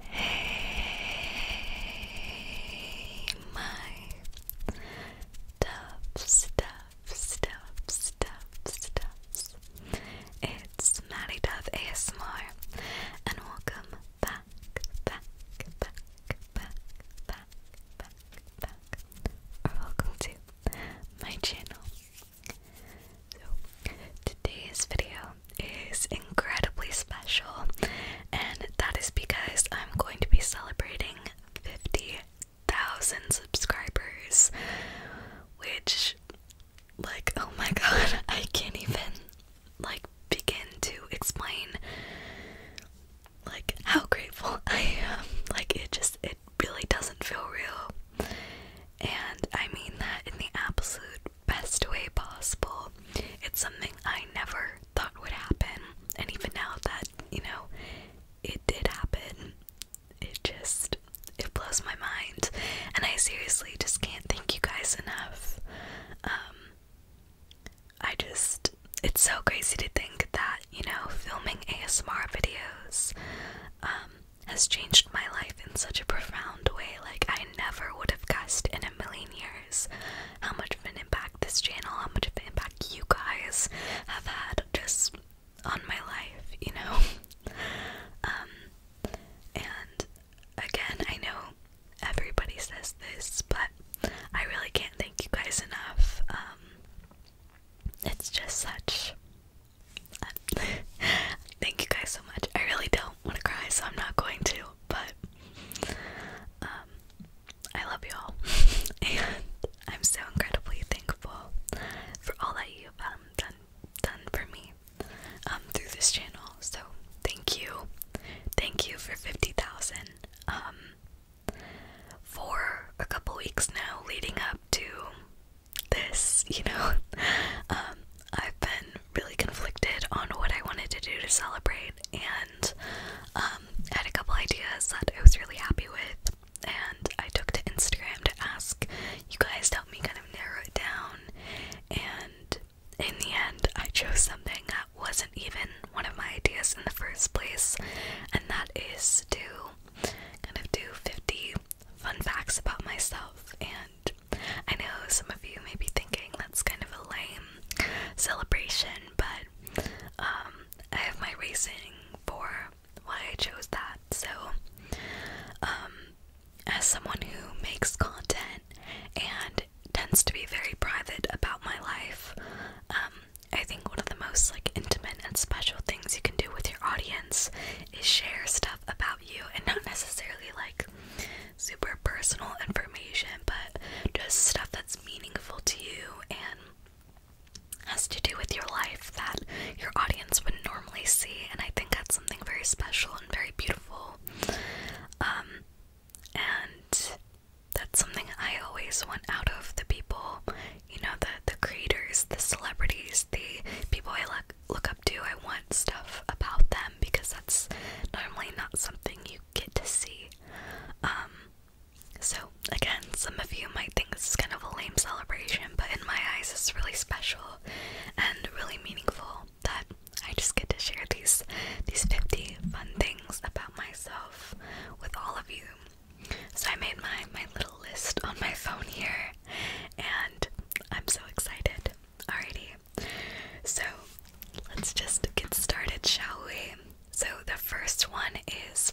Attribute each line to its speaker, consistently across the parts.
Speaker 1: Hey, my Doves, Doves, Doves, Doves, Doves. It's Maddie Dove ASMR, and welcome back, back, back, back, back, back, back, or welcome to my channel today's video is incredibly special, and that is because I'm going to be celebrating 50,000 subscribers, which, like, oh my god, I can't even, like, begin to explain, like, how grateful I am. Like, it just, it really doesn't feel real. And I mean that in the absolute best way possible. It's something I never thought would happen. And even now that, you know, it did happen, it just it blows my mind. And I seriously just can't thank you guys enough. Um I just it's so crazy to think that, you know, filming ASMR videos um has changed my life in such a profound way. Like, I never would have guessed in a million years how much of an impact this channel, how much of an impact you guys have had just on my life, you know? Um, and again, I know everybody says this, but I really can't thank you guys enough. Um, it's just such Thank you guys so much. I really don't want to cry, so I'm not going to, but um, I love you all, and I'm so incredibly thankful for all that you've um, done done for me um, through this channel. So thank you, thank you for fifty thousand. Um, for a couple weeks now, leading up to this, you know. Um, I've been really conflicted on what I wanted to do to celebrate, and I um, had a couple ideas that I was really happy with, and I took to Instagram to ask you guys to help me kind of narrow it down. And in the end, I chose something that wasn't even one of my ideas in the first place, and that is to kind of do 50 fun facts about myself, and I know some of you may be thinking that's kind of a lame celebration, but um, I have my reasoning for why I chose that. So, um, as someone who makes content and tends to be very private about my life, um, I think one of the most like intimate and special things you can do with your audience is share stuff about you and not necessarily like super personal information, but just stuff that's meaningful to you and has to do with your life that your audience would normally see. And I think that's something very special and very beautiful. Um, and that's something I always want out of the people you know, the the creators, the celebrities, the people I look look up to. I want stuff about them because that's normally not something you get to see. Um, so again, some of you might think this is kind of a lame celebration, but in my eyes, it's really special and really meaningful that I just get to share these these 50 fun things about myself with all of you. So I made my my little list on my phone here and I'm so excited. Alrighty, so let's just get started, shall we? So, the first one is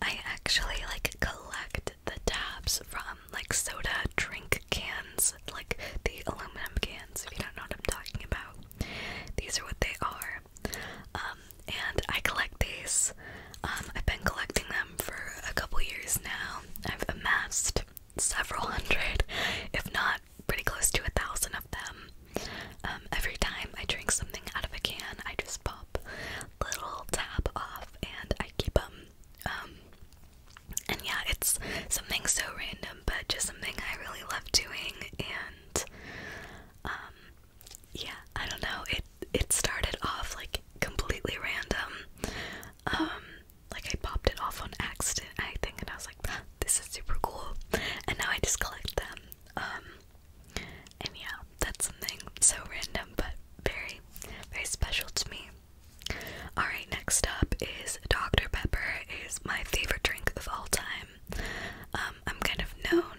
Speaker 1: I actually like collect the tabs from like soda drink cans, like the aluminum cans, if you don't know what I'm talking about. These are what they are. Um, and I collect these um, I've been collecting them for a couple years now. I've amassed several hundred, if not pretty close to a thousand of them. Um, every time I drink something out of a can, I just pop little tab off and I keep them. Um, and yeah, it's something so random, but just something I really love doing. And yeah, I don't know it started off like completely random. Um, like I popped it off on accident, I think, and I was like, "This is super cool," and now I just collect them. Um, and yeah, that's something so random, but very, very special to me. All right, next up is Dr Pepper is my favorite drink of all time. Um, I'm kind of known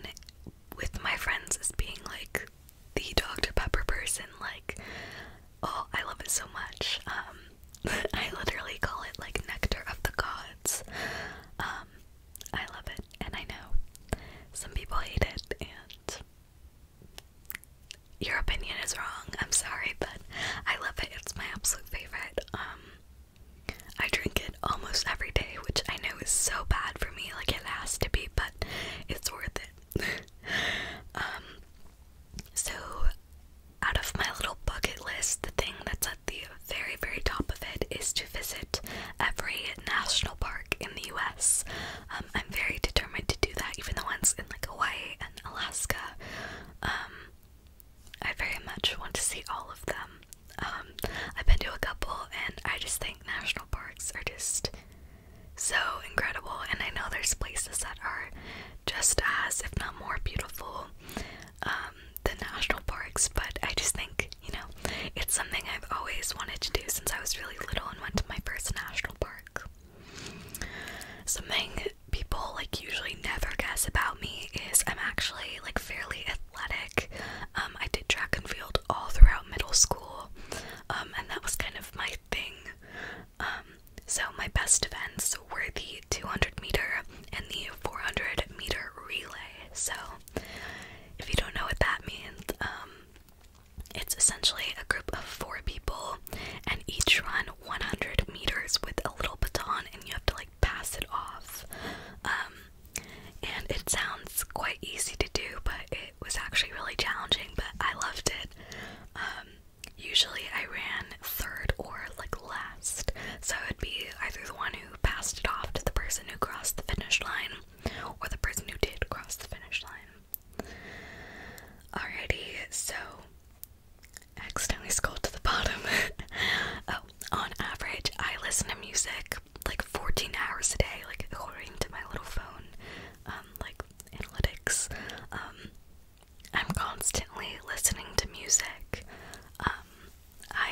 Speaker 1: with my friends as being like the Dr. Pepper person. Like, oh, I love it so much. Um, I literally call it like nectar of the gods. Um, I love it, and I know some people hate it, and your opinion is wrong. I'm sorry, but I love it. It's my absolute favorite. Um, I drink it almost every day, which I know is so bad for me. Like, it has to be, but it's worth it. Um, so out of my little bucket list, the thing that's at the very, very top of it is to visit every national park in the US. Um, I'm very determined to do that, even the ones in like Hawaii and Alaska. Um, I very much want to see all of them. I've been to a couple, and I just think national national parks are just so incredible, and I know there's places that are just as, if not more, beautiful um, than national parks, but I just think, you know, it's something I've always wanted to do since I was really little and went to my first national park. Something people like usually never guess about me is I'm actually like fairly athletic. Um, I did track and field all throughout middle school, um, and that was kind of my thing. Um, so my best events were the 200 meter and the 400 meter relay. So if you don't know what that means, um, it's essentially a group of four people and each run 100 meters with a little baton and you have to like pass it off. Um, and it sounds quite easy to do, but it was actually really challenging, but I loved it. Um, usually I ran third or like last, so it would be either the one who passed it off to the person who crossed the finish line or the person who did cross the finish line. Alrighty, so accidentally scrolled to the bottom. oh, on average, I listen to music like 14 hours a day, like according to my little phone, um, like analytics. Um, I'm constantly listening to music. Um, I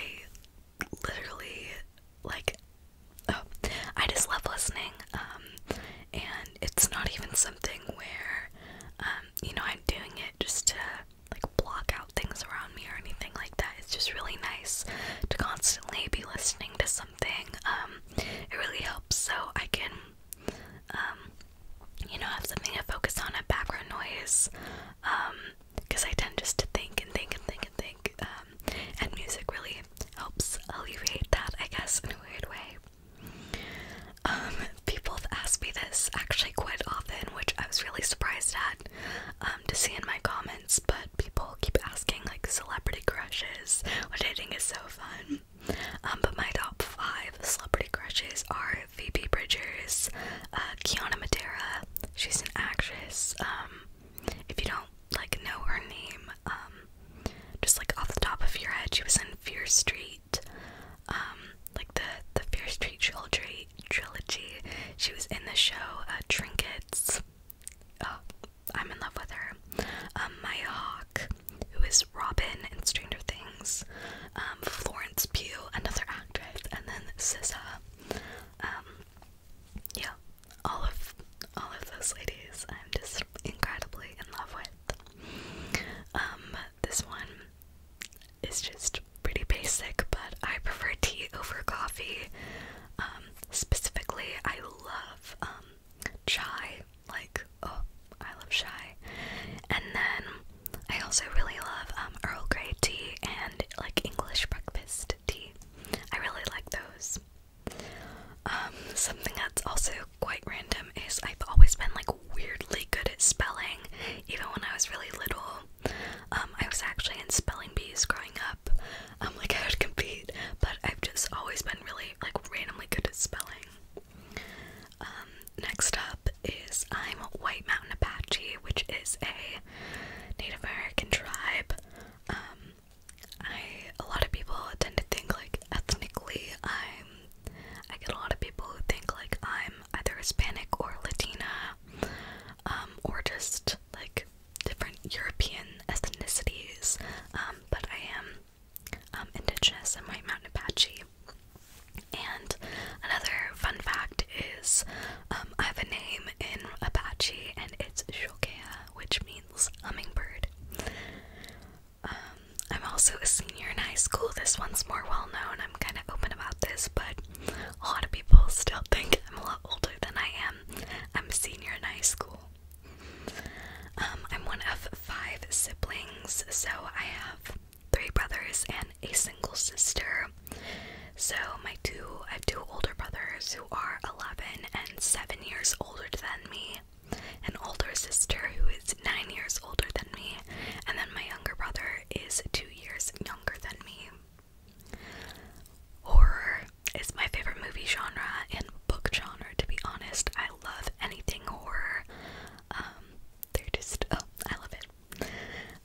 Speaker 1: literally like oh, I just love listening. Um, and it's not even something where you know, I'm doing it just to like block out things around me or anything like that. It's just really nice to constantly be listening to something it really helps so I can, um, you know, have something to focus on, a background noise, um, because I tend just to think and think and think and think, um, and music really helps alleviate that, I guess, in a weird way. Um, people have asked me this actually quite often, which I was really surprised at, um, to see in my comments, but people keep asking, like, celebrity crushes, which I think is so fun. Um, but my top five celebrity crushes are Phoebe Bridgers, uh, Kiana Madera. She's an actress. Um, if you don't like know her name, um, just like off the top of your head, she was in Fear Street. like the the Fear Street trilogy. She was in the show uh, Trinkets. Oh, I'm in love with her. Um, my hawk, who is Robin in Stranger Things, um, Florence Pugh, another actress, and then SZA. Um, yeah, all of all of those ladies, I'm just incredibly in love with. Um, this one is just pretty basic, but I prefer tea over coffee. Um, specifically, I love chai. Like, oh, I love chai. And then I also really love um, Earl Grey tea and like English breakfast tea. I really like those. Um, something that's also quite random is I've always been like weirdly good at spelling, even when I was really little. Um, I was actually in spelling bees growing up, um like I would compete, but I've just always been really like randomly good at spelling. Um, next up is I'm White Mountain Apache, which is a Native American tribe. Um, I a lot of people tend to think like ethnically I'm I get a lot of people who think like I'm either Hispanic or Latina, um, or just like different European ethnicities. Um, but I am um, indigenous and White Mountain Apache. And another fun fact is um, I have a name in Apache and it's Shokea, which means hummingbird. Um, I'm also a senior in high school. This one's more well known. I'm kind of open about this, but a lot of people still think I'm a lot older than I am. I'm a senior in high school. Um, I'm one of five siblings, so I have three brothers and a single sister. So my two, I have two older brothers who are 11 and 7 years older than me, an older sister who is 9 years older than me, and then my younger brother is 2 years younger than me. Horror it's my favorite movie genre and book genre, to be honest. I love anything horror. Um, they're just, oh, I love it.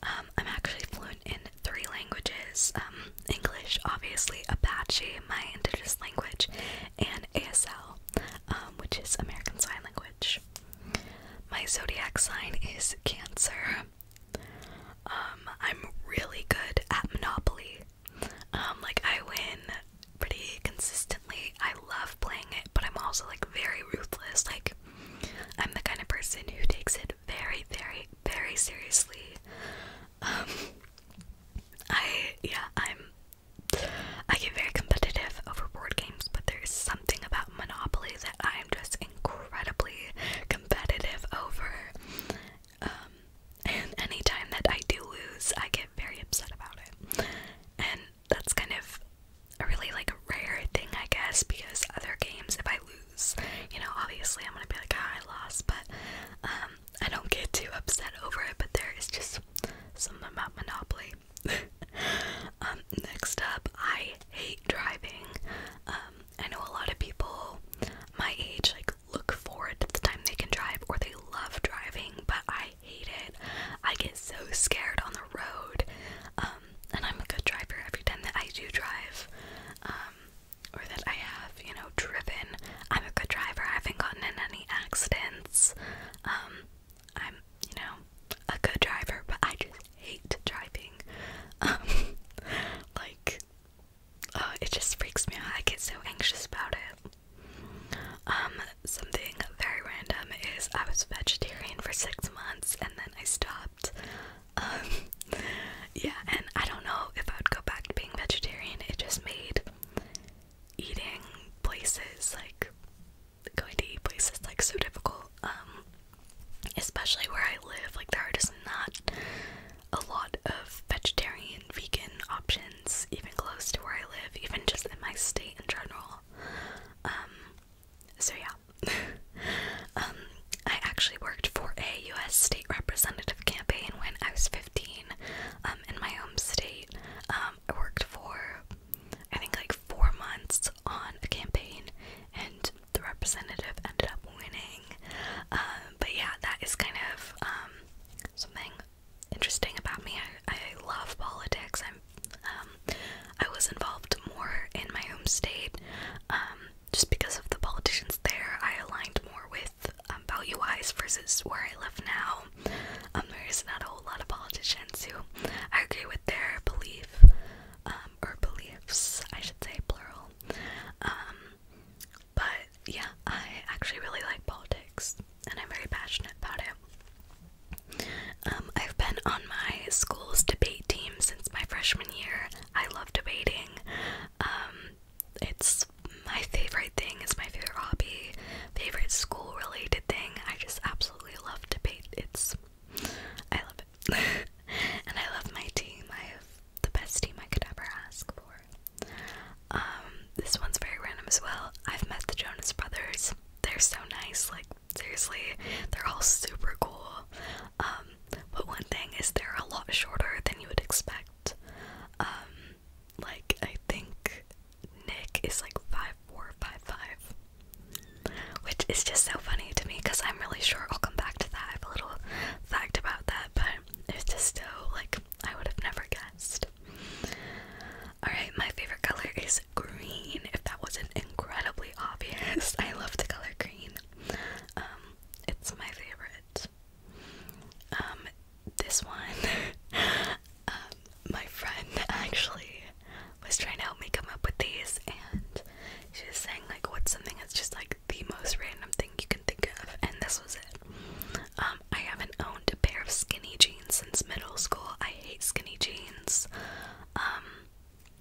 Speaker 1: Um, I'm actually fluent in three languages um, English, obviously, Apache, my indigenous language, and ASL, which is American Sign Language. My zodiac sign is Cancer. I'm really good at Monopoly, um, like I win pretty consistently. I love playing it, but I'm also like very ruthless. Like I'm the kind of person who takes it very, very, very seriously. Um, I yeah, I'm I get very competitive over board games, but there is something about Monopoly that I am just incredibly competitive over. Um, and anytime that I do lose, I get very upset about it. And that's kind of a really like rare thing, I guess, because other games, if I lose, you know, obviously I'm gonna be like, ah, I lost, but um, I don't get too upset over it. But there is just something about Monopoly. Um, next up, I hate driving. Um, I know a lot of people my age, like look forward to the time they can drive or they love driving, but I hate it. I get so scared on the road. Um, and I'm a good driver every time that I do drive. Um, or that I have, you know, driven. I'm a good driver. I haven't gotten in any accidents. Um, I'm, you know, a good driver, but I just hate driving. like, uh, it just freaks me out. I get so anxious about it. Um, something very random is I was vegetarian for six months and then I stopped. Um, yeah, and I don't know if I would go back to being vegetarian. It just made eating places like going to eat places like so difficult. Um, especially where I live, like there are just not a lot of vegetarian, vegan options, even close to where I live, even just in my state in general. Um, so yeah. Um, I actually worked for a U.S. state representative campaign when I was 15 um, in my home state. I worked for, I think, like four months on a campaign, and the representative ended up winning. Uh, but yeah, that is kind of something interesting about me. I, I love politics. I'm um, I was involved more in my home state um, just because of the politicians there. I aligned more with um, value wise versus where I live now. Um, there's not a whole lot of politicians who I agree with their belief um, or beliefs, I should say plural. Um, but yeah, I actually really like politics and I'm very passionate about it. Um, I've been on my school's debate team since my freshman year. I love debating. Um, it's my favorite thing, it's my favorite hobby, favorite school related thing. I just absolutely love debate. It's I love it. and I love my team. I have the best team I could ever ask for. Um, this one's very random as well. I've met the Jonas Brothers. They're so nice, like seriously, they're all super cool. Um, but one thing is they're a lot shorter than you would expect. Um, like I think Nick is like five four, five five. Which is just so funny to me because I'm really sure I'll come back to that. I have a little fact about that, but it's just so like I would have never guessed. Alright, my favorite color is green. If that wasn't incredibly obvious, I love the color green. Um, it's my favorite. Um, this one, um, my friend actually was trying to help me come up with these, and she was saying, like, what's something that's just like the most random thing you can." and this was it. Um, I haven't owned a pair of skinny jeans since middle school. I hate skinny jeans. Um,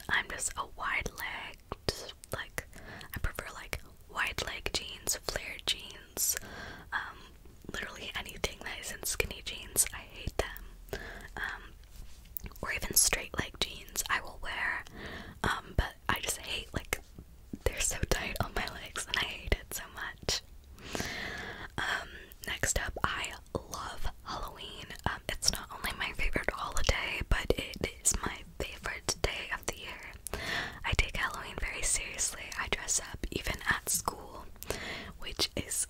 Speaker 1: I'm just a wide-legged, like I prefer like wide-leg jeans, flared jeans, um, literally anything that isn't skinny jeans. I hate them. or even straight leg jeans I will wear, but I just hate like they're so tight on my legs and I hate it so much. Um, next up, I love Halloween. Um, it's not only my favorite holiday, but it is my favorite day of the year. I take Halloween very seriously. I dress up even at school, which is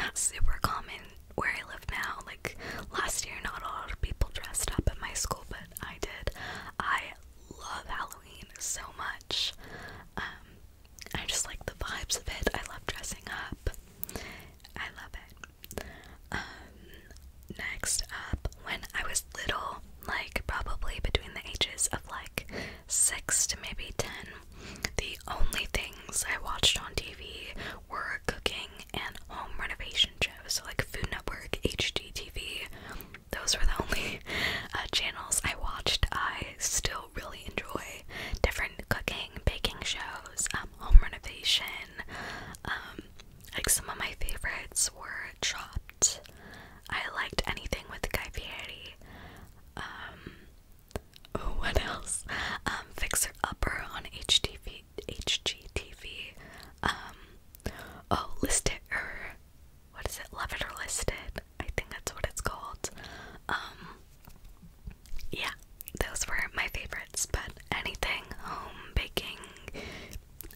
Speaker 1: not super common where I live now. Like last year, not a lot of people dressed up at my school, but I did. I love Halloween so much. Um, I just like the vibes of it. I love dressing up. I love it. Um, next up, when I was little, like probably between the ages of like six to maybe ten, the only things I watched on TV were cooking and home renovation shows. like Food Network, HGTV, those were the only uh, channels I watched. I still really enjoy different cooking, baking shows, um, home renovation. Um, like some of my favorites were Chopped. I liked anything with Guy Fieri. Um, what else? Um, Fixer Upper on HTV, HGTV. Um, oh, listed. It er, what is it? Love It or listed. I think that's what it's called. Um, yeah, those were my favorites, but anything home baking,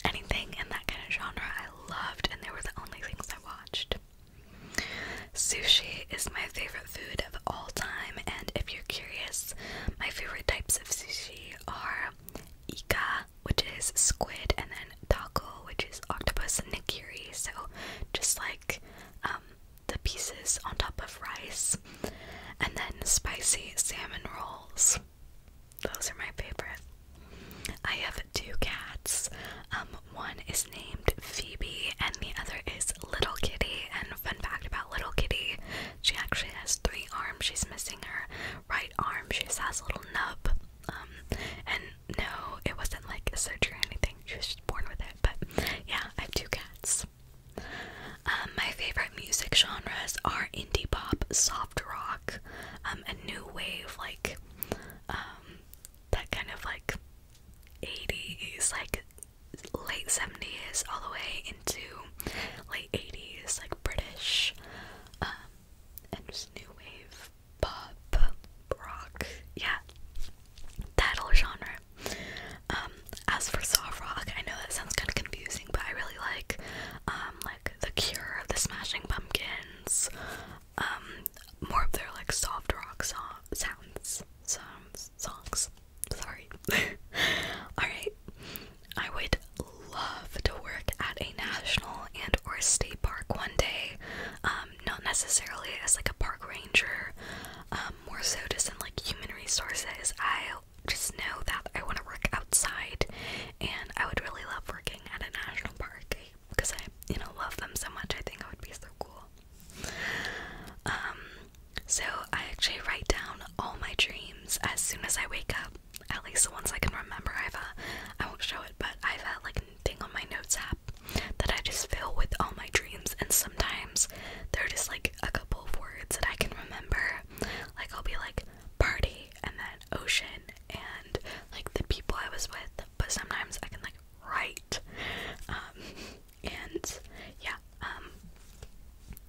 Speaker 1: anything in that kind of genre, I loved, and they were the only things I watched. Sushi is my favorite food of all time, and if you're curious, my favorite types of sushi are Ika, which is squid, and then taco, which is octopus and nigiri. So just like um, the pieces on top of rice, and then spicy salmon rolls. Those are my favorite. I have two cats. Um, one is named Phoebe, and the other is Little Kitty. And fun fact about Little Kitty, she actually has three arms. She's missing her right arm. She has a little nub. Um, and no, it wasn't like a surgery or anything. She was just born with it. But yeah, I have two cats. Um, my favorite music genres are indie pop, soft rock, um, a new wave, like um, that kind of like 80s, like late 70s, all the way into late 80s, like British um, and just new wave pop rock. Yeah, that whole genre. Um, as for soft rock, I know that sounds kind of confusing, but I really like um like The Cure, The Smashing Pumpkins, um more of their like soft rock so sounds, sounds, songs. Sorry. All right. I would love to work at a national and or state park one day. Um, not necessarily as like a park ranger, um, more so just in like human resources. I just know that I want to work outside, and I would really love working at a national park because I, you know, love them so much. I think it would be so cool. Um, so I actually write down all my dreams as soon as I wake up. At least the ones I can remember. I've, uh, I won't show it, but I've had like thing on my notes app that I just fill with all my dreams, and sometimes there are just like a couple of words that I can remember. Like, I'll be like party and then ocean and like the people I was with, but sometimes I can like write. Um, and yeah, um,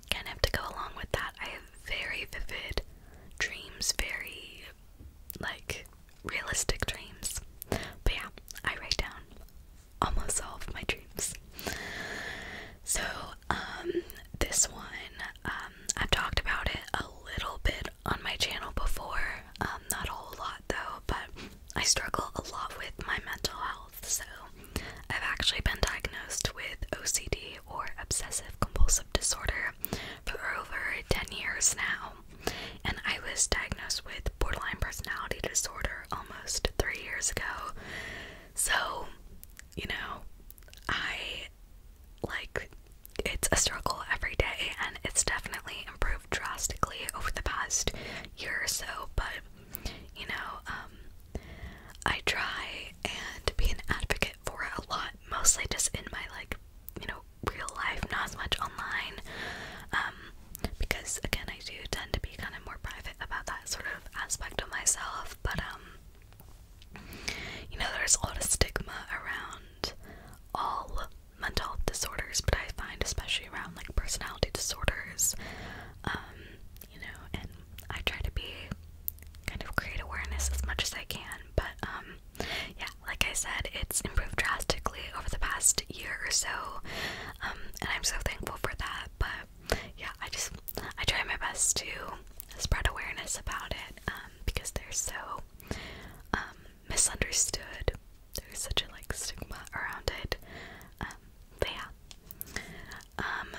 Speaker 1: kind of to go along with that, I have very vivid dreams, very like realistic dreams. But yeah, I write down almost all of my dreams. So, um, this one, um, I've talked about it a little bit on my channel before, um, not a whole lot though, but I struggle a lot with my mental health, so I've actually been diagnosed with OCD or obsessive compulsive disorder for over 10 years now and I was diagnosed with borderline personality disorder almost three years ago. So, you know, I like it's a struggle every day, and it's definitely improved drastically over the past year or so. But, you know, um, I try and be an advocate for a lot, mostly just in my like, you know, real life, not as much online. Um, because again, I do tend to be kind of more private about that sort of aspect of myself, but um, you know, there's a lot of stigma around all mental health disorders, but I find especially around like personality disorders, um, you know, and I try to be kind of create awareness as much as I can, but um, yeah, like I said, it's improved drastically over the past year or so, um, and I'm so thankful for that. But yeah, I just I try my best to spread awareness about it um, because they're so um, misunderstood. There's such a like stigma around it. but yeah, um,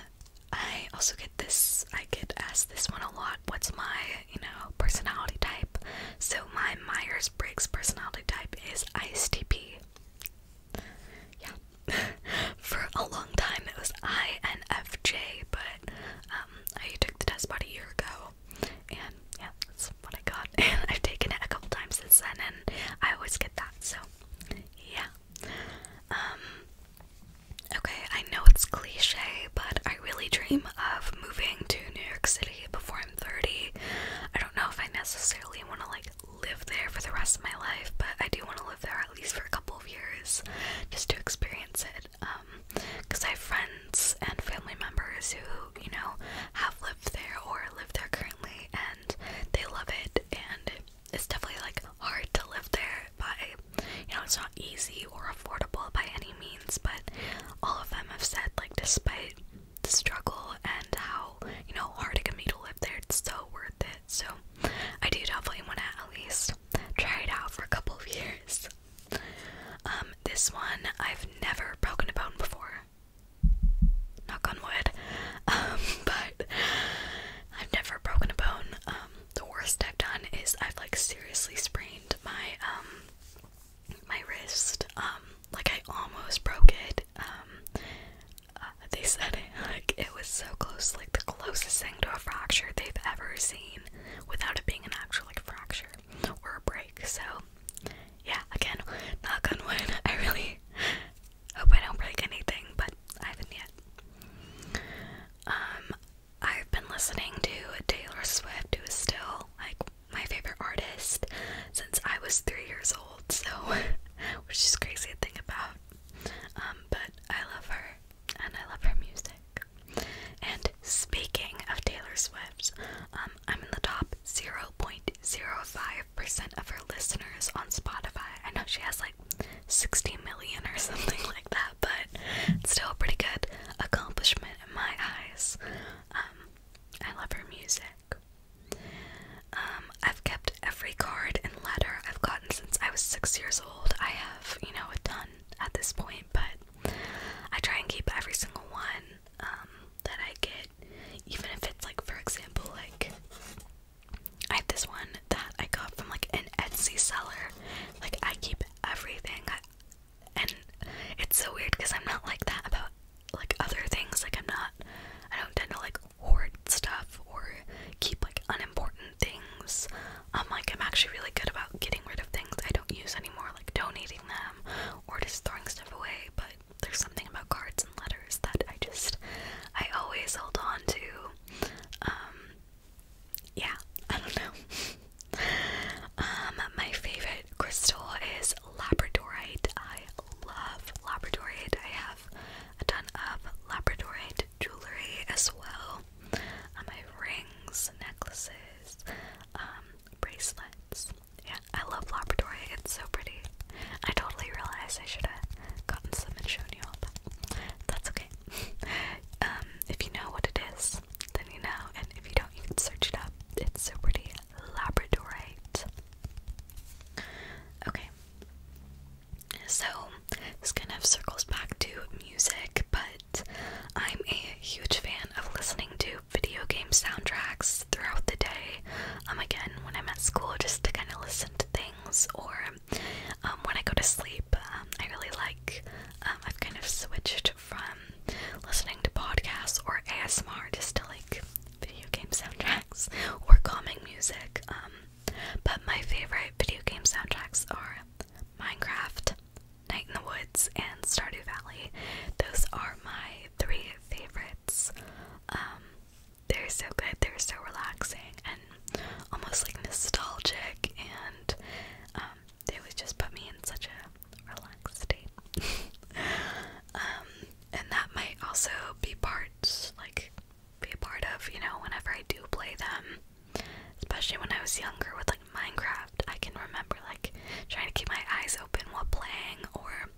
Speaker 1: I also get this. I get asked this one a lot what's my, you know, personality type. So my Myers Briggs personality type is ISTP. Yeah. For a long time it was INFJ, but um, I took the test about a year ago, and yeah, that's what I got. And I've taken it a couple times since then, and I always get that. So yeah. Um, okay, I know it's cliche, but I really dream of moving to New York City before I'm 30. I don't know if I necessarily want to like live there for the rest of my life, but I do want to live there at least for a couple of years just to experience it. Um, because I have friends and family members who, you know, have lived there or live there currently and they love it and it's definitely like hard to live there by you know it's not easy or affordable by any means but all of them have said, like, despite the struggle and how, you know, hard it can be to live there, it's so worth it. So, I do definitely want to at least try it out for a couple of years. Um, this one I've never broken a bone before. Knock on wood. Um, but I've never broken a bone. Um, the worst I've done is I've like seriously sprained my um my wrist. Um, like I almost broke it. Um, uh, they said it like it was so close, like the closest thing to a fracture they've ever seen, without it being an actual like fracture or a break. So, yeah, again, not gonna wood. I really hope I don't break anything, but I haven't yet. Um, I've been listening to Taylor Swift, who is still like my favorite artist since I was three years old, so which is crazy to think about. Um, but I love her and I love her music. And speaking of Taylor Swift, um, I'm in the top 0.05% of her listeners on Spotify. I know she has like 60 million or something like that, but it's still a pretty good accomplishment in my eyes. Um, I love her music. Um, I've kept every card and letter I've gotten since I was six years old. I have, you know, a ton at this point, but I try and keep every single one um, that I get, even if it's like, for example, like I have this one that I got from like an Etsy seller. Like I keep everything and it's so weird because I'm not like that about like other things. Like I'm not I don't tend to like hoard stuff or keep like unimportant things. Um like I'm actually really good about getting rid of things I don't use anymore, like donating them or just throwing stuff away, but there's something about cards and letters that I just I always hold on to. Um yeah, I don't know um, my favorite crystal is labradorite. I love labradorite. I have a ton of labradorite jewelry as well. Um, uh, I have rings, necklaces, um, bracelets. Yeah, I love labradorite. It's so pretty. I totally realized I should have gotten some and shown you all, but that's okay. um, if you know what it is, then you know. And if you don't, you can search it up. It's so pretty. Labradorite. Okay. So this kind of circles back to music, but I'm a huge fan of listening to video game soundtracks throughout the day. Um, again, when I'm at school, just to kind of listen to things, or um, when I go to sleep, um, I really like. Um, I've kind of switched from listening to podcasts or ASMR just to like video game soundtracks or calming music. Um, but my favorite video game soundtracks are Minecraft, Night in the Woods, and Stardew Valley. Those are my three favorites. Um, they're so good, they're so relaxing and almost like nostalgic and um, they always just put me in such a relaxed state. Um, and that might also be parts like be a part of, you know, whenever I do play them. Especially when I was younger with like Minecraft, I can remember like trying to keep my eyes open while playing, or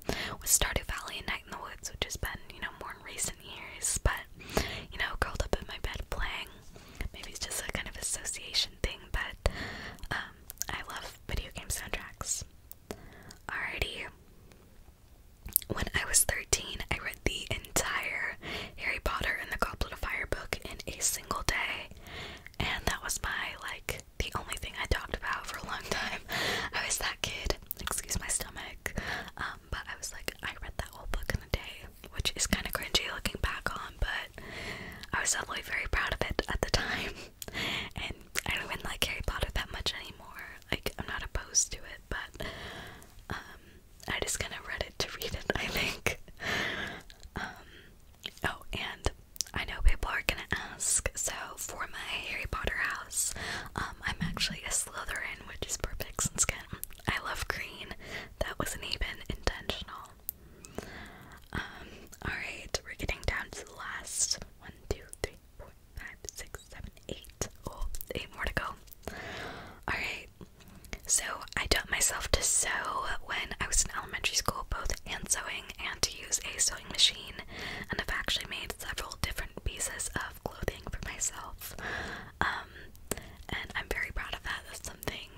Speaker 1: with Stardew Valley and Night in the Woods, which has been, you know, more in recent years. But, you know, curled up in my bed playing. Maybe it's just a kind of association thing, but um, I love video game soundtracks. Alrighty. When I was 13, I read the entire Harry Potter and the Goblet of Fire book in a single day. And that was my, like, the only thing I talked about for a long time. I was that kid, excuse my stomach. Um, but I was like, I read that whole book in a day, which is kind of cringy looking back on, but I was definitely very proud of it at the time. And I don't even like Harry Potter that much anymore. Like, I'm not opposed to it, but um, I just kind of read it to read it, I think. Um, oh, and I know people are gonna ask, so for my Harry Potter house, um, I'm actually a Slytherin, which is perfect since I love green. That wasn't even intentional. Um, alright, we're getting down to the last one, two, three, four, five, six, seven, eight. Oh, eight more to go. Alright. So I taught myself to sew when I was in elementary school, both hand sewing and to use a sewing machine, and I've actually made several different pieces of clothing for myself. Um, and I'm very proud of that. That's something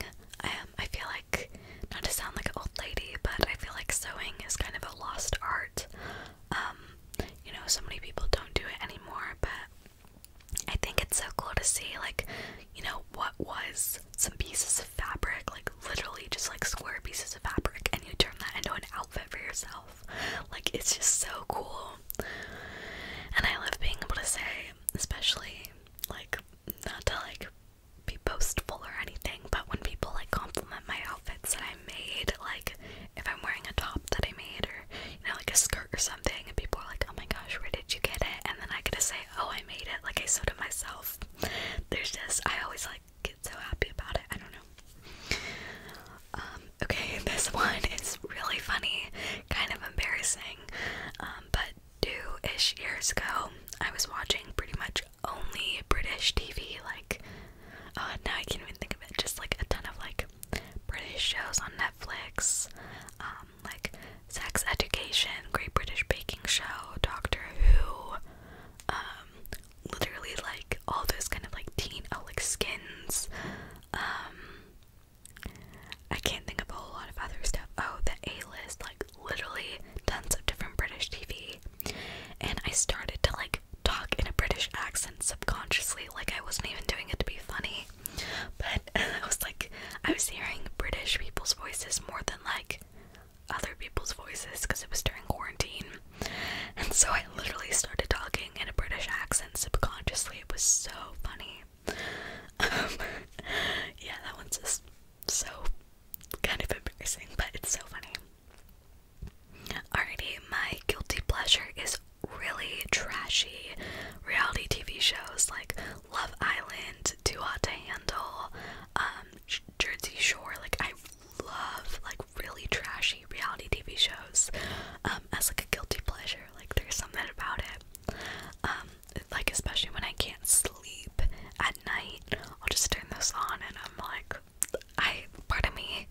Speaker 1: I I feel like, not to sound like an old lady, but I feel like sewing is kind of a lost art. Um, you know, so many people don't do it anymore, but I think it's so cool to see, like, you know, what was some pieces of fabric, like literally just like square pieces of fabric, and you turn that into an outfit for yourself. Like, it's just so cool. And I love being able to say, especially, like, not to like be boastful or anything, but when people like compliment my outfits that I made, like if I'm wearing a top that I made or you know, like a skirt or something, and people are like, Oh my gosh, where did you get it? And then I get to say, Oh, I made it, like I sewed it myself. There's just I always like get so happy about it. I don't know. Um, okay, this one is really funny, kind of embarrassing. Um, but two ish years ago, I was watching pretty much only British TV. Like, uh, now I can't even think of it. Just like a ton of like British shows on Netflix, um, like Sex Education, Great British Baking Show, Doctor Who, um, literally like all those kind of like teen, oh, like skins. Um, I can't think of a whole lot of other stuff. Oh, the A list, like literally tons of different British TV. And I started to like talk in a British accent subconsciously, like I wasn't even doing it to be funny. But I was like, I was hearing British people's voices more than like other people's voices because it was during quarantine. And so I literally started talking in a British accent subconsciously. It was so funny. Um, yeah, that one's just so kind of embarrassing, but it's so funny. Alrighty, my guilty pleasure is really trashy reality TV shows like Love Island, Too Hot to Handle, um, Jersey Shore. Like I love like really trashy reality TV shows um, as like a guilty pleasure. Like there's something about it. Um, like especially when I can't sleep at night, I'll just turn this on and I'm like, I part of me.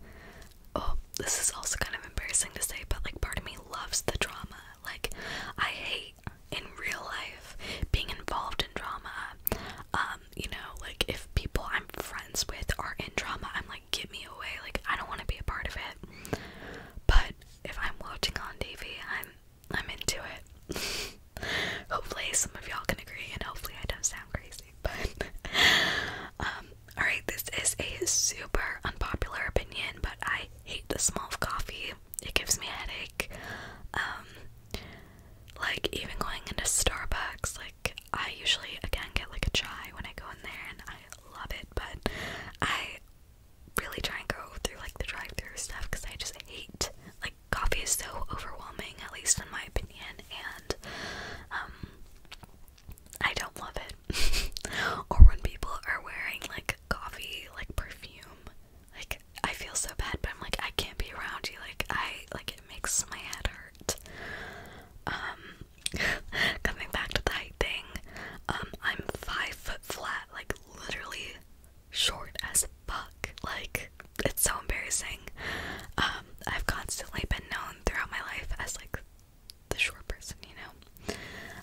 Speaker 1: Oh, this is also kind of embarrassing to say, but like part of me loves the drama. Like, I hate in real life being involved in drama. Um, you know, like if people I'm friends with are in drama, I'm like, get me away. Like, I don't want to be a part of it. But if I'm watching on TV, I'm I'm into it. hopefully, some of y'all can agree, and hopefully, I don't sound crazy. But, um, alright, this is a super unpopular opinion, but I hate the smell of coffee. It gives me a headache. Um, like, even going into Starbucks, like, I usually, again, get like a chai when I go in there, and I love it, but I really try and go through like the drive through stuff because I just hate. Like coffee is so overwhelming, at least in my opinion, and um I don't love it. or when people are wearing like coffee like perfume, like I feel so bad, but I'm like I can't be around you. Like I like it makes my head hurt. Um coming back to the height thing, um I'm five foot flat, like literally short as fuck. Like, it's so embarrassing. Um, I've constantly been known throughout my life as like the short person, you know.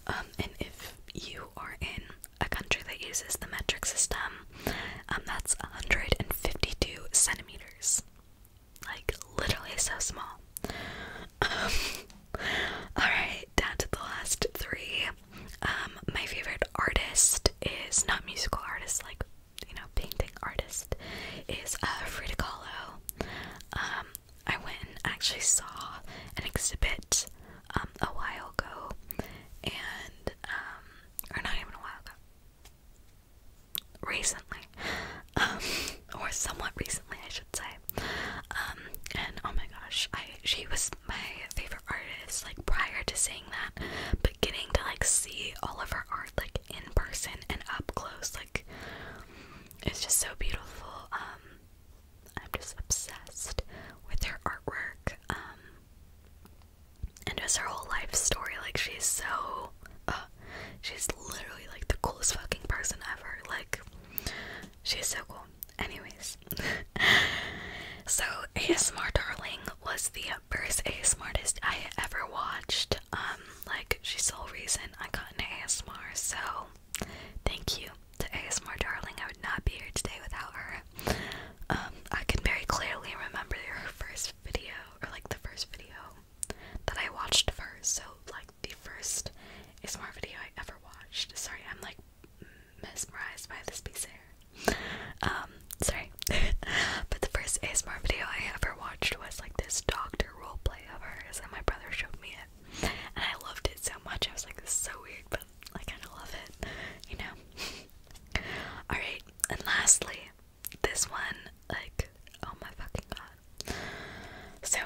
Speaker 1: Um, and if you are in a country that uses the metric system, um, that's 152 centimeters. Like, literally so small. Um, Alright, down to the last three. Um, my favorite artist is not musical artist, like you know, painting artist is uh, Frida Kahlo. Um, I went actually saw an exhibit um, a while ago, and or not even a while ago, recently, or somewhat recently, I should say. and oh my gosh, I she was my favorite artist like prior to seeing that, beginning to like see all of her art like in person and up close, like it's just so beautiful. Um, I'm just obsessed with her artwork. Um, and just her whole life story. Like she's so, uh, she's literally like the coolest fucking person ever. Like she's so cool. Anyways, so ASMR Darling was the first ASMR I ever watched. Um, like she's the whole reason I got into ASMR. So thank you to ASMR Darling. I would not be here today without her. Um, I can very clearly remember her first video, or like the first video that I watched first. So like the first ASMR video I ever watched. Sorry, I'm like mesmerized by this piece of hair. Um, sorry. but the first ASMR video I ever watched was like this doctor roleplay of hers, and my brother showed me it. And I loved it so much. I was like, this is so weird, but I kind of love it, you know? Alright, and lastly, this one, like, oh my fucking god. So,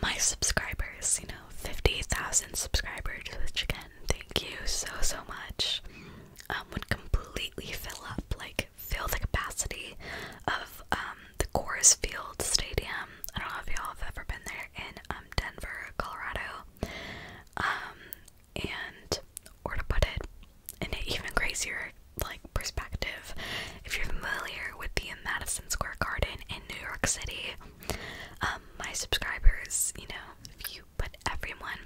Speaker 1: my subscribers, you know, 50,000 subscribers, which again thank you so so much um, would completely fill up like fill the capacity of um, the Coors Field Stadium. I don't know if y'all have ever been there in um, Denver, Colorado. and or to put it in an even crazier like perspective, if you're familiar with the Madison Square Garden in New York City, my subscribers, you know, if you put everyone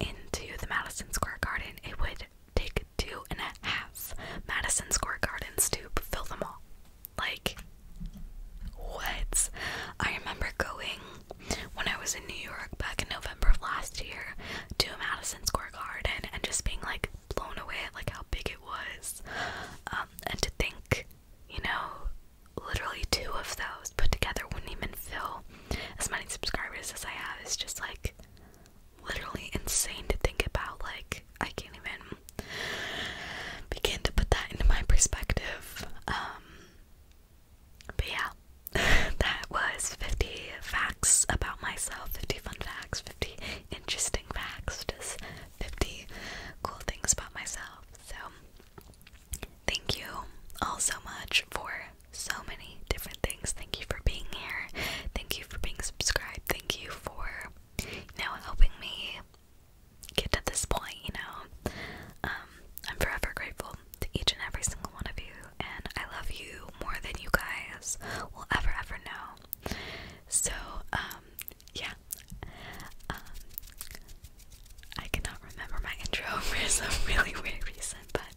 Speaker 1: into the Madison Square Garden, it would take two and a half Madison Square Garden to fill them all. Like, what? I remember going when I was in New York back in November of last year to Madison Square Garden and just being like blown away at like how big it was. Um, and to think you know, literally two of those put together wouldn't even fill as many subscribers as I have. It's just like literally insane to think about. Like, I can't even begin to put that into my perspective. Um, but yeah, that was 50 facts about myself, 50 fun facts, 50 interesting facts, just 50 cool things about myself. So Thank you all so much for so many different things. Thank you for being here. Thank you for being subscribed. Thank you for, you know, helping me get to this point, you know. Um, I'm forever grateful to each and every single one of you, and I love you more than you guys will ever, ever know. So, um, yeah. Um, I cannot remember my intro for some really weird reason, but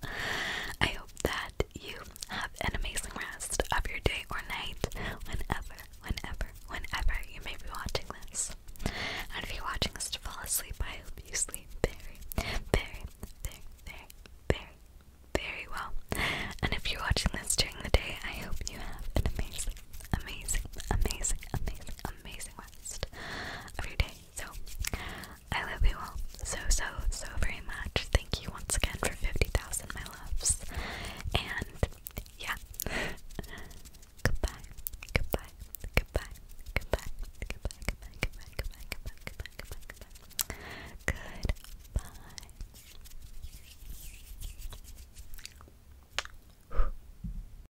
Speaker 1: I hope that you have an amazing rest of your day or night whenever, whenever, whenever you may be watching this. And if you're watching this to fall asleep, I hope you sleep very, very, very, very, very, very well. And if you're watching this during the day, I hope you have an amazing, amazing, amazing, amazing, amazing rest So, I love you all so, so, so very much. Thank you once again for 50,000, my loves. And yeah, goodbye, goodbye, goodbye, goodbye, goodbye, goodbye, goodbye, goodbye, goodbye, goodbye, goodbye, goodbye, goodbye. goodbye.